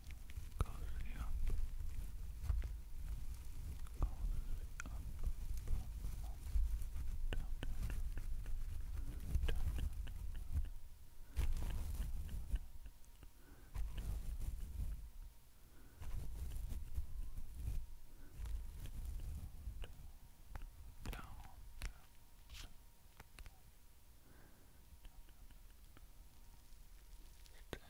cozy up, cozy up, down, down, down, down, down, down, down, down, down, down, Stay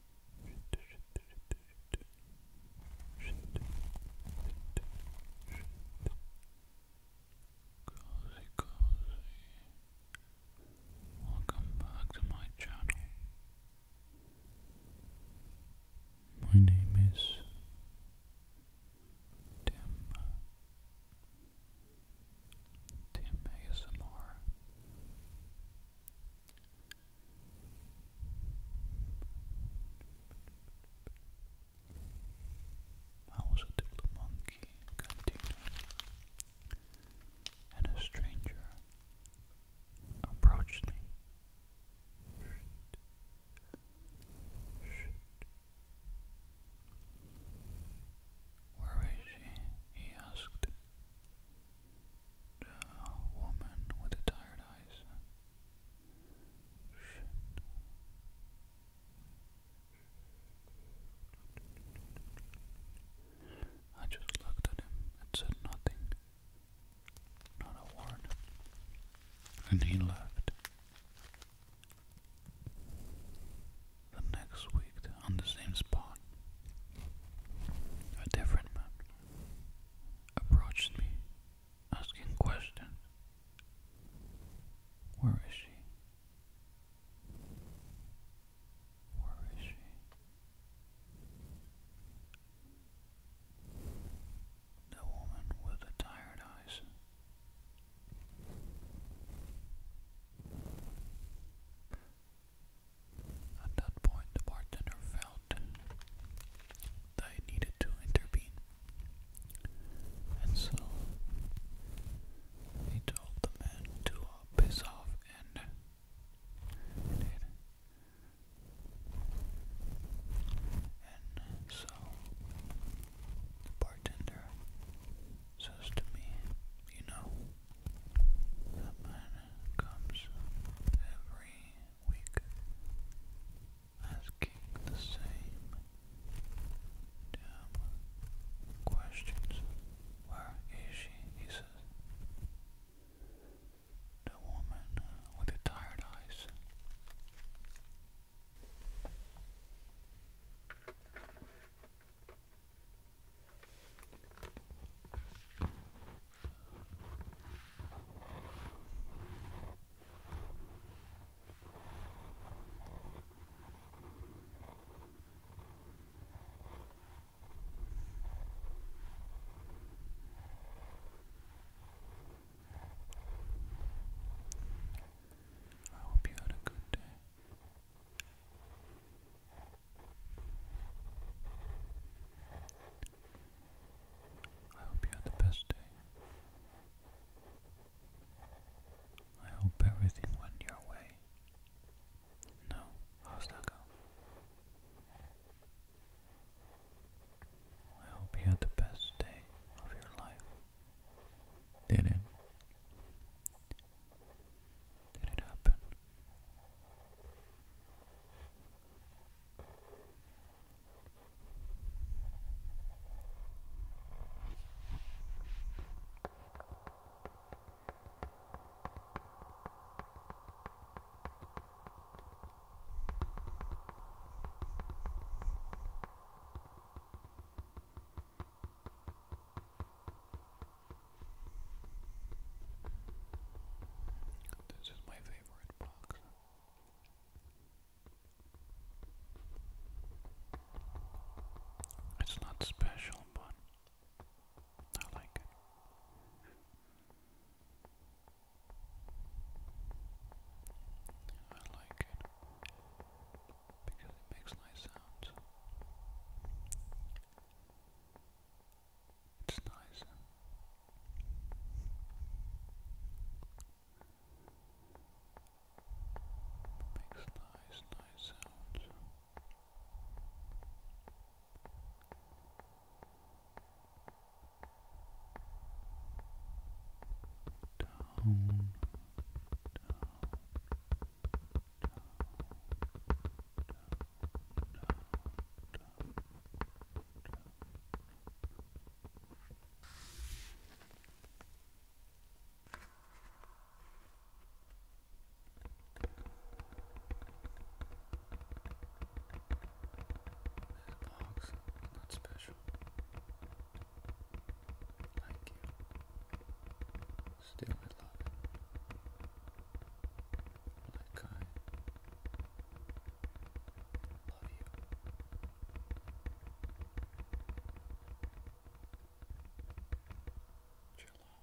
Cozy, cozy. Welcome back to my channel. My name is Tim. Tim ASMR. I was a little monkey container, and a stranger approached me. Where is she? he asked uh, woman with tired eyes. I just looked at him and said nothing. Not a word. And he left. The next week, on the same spot. A different man approached me, asking questions. Where is she? Where is she? The woman with the tired eyes. At that point, the bartender felt that he needed to intervene, and so he told the man to uh, piss off, And so the bartender says to me, You know, the man comes every week asking the same damn questions. Where is she? He says. The woman with the tired eyes. I hope you had a good day. I hope you had the best day. I hope everything went your way. No, how's that go? I hope you had the best day of your life. Did it? Did it happen? This is my favorite box. It's not special, but I like it. I like it because it makes nice sounds. It's nice. Makes nice, nice sounds down, This box, not special. Like you. Still in love. Like I love you. Jello, Brendan.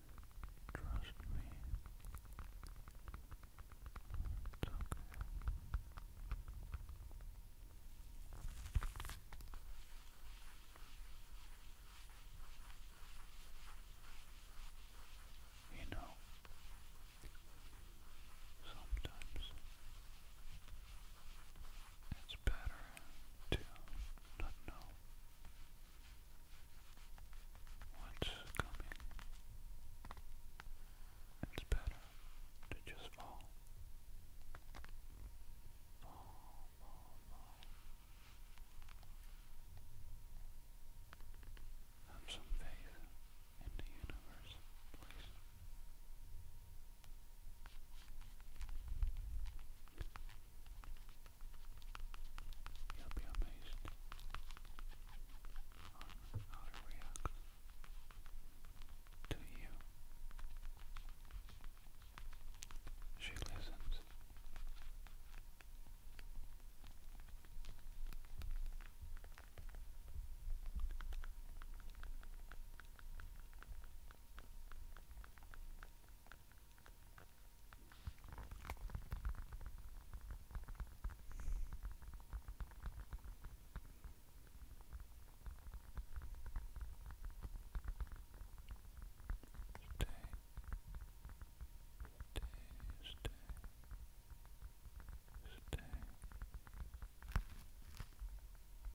Trust me. okay. You know, sometimes it's better to not know what's coming. It's better to just fall. Have some faith in the universe, please. You'll be amazed on how it reacts to you. She listens. Stay. Stay, stay, stay.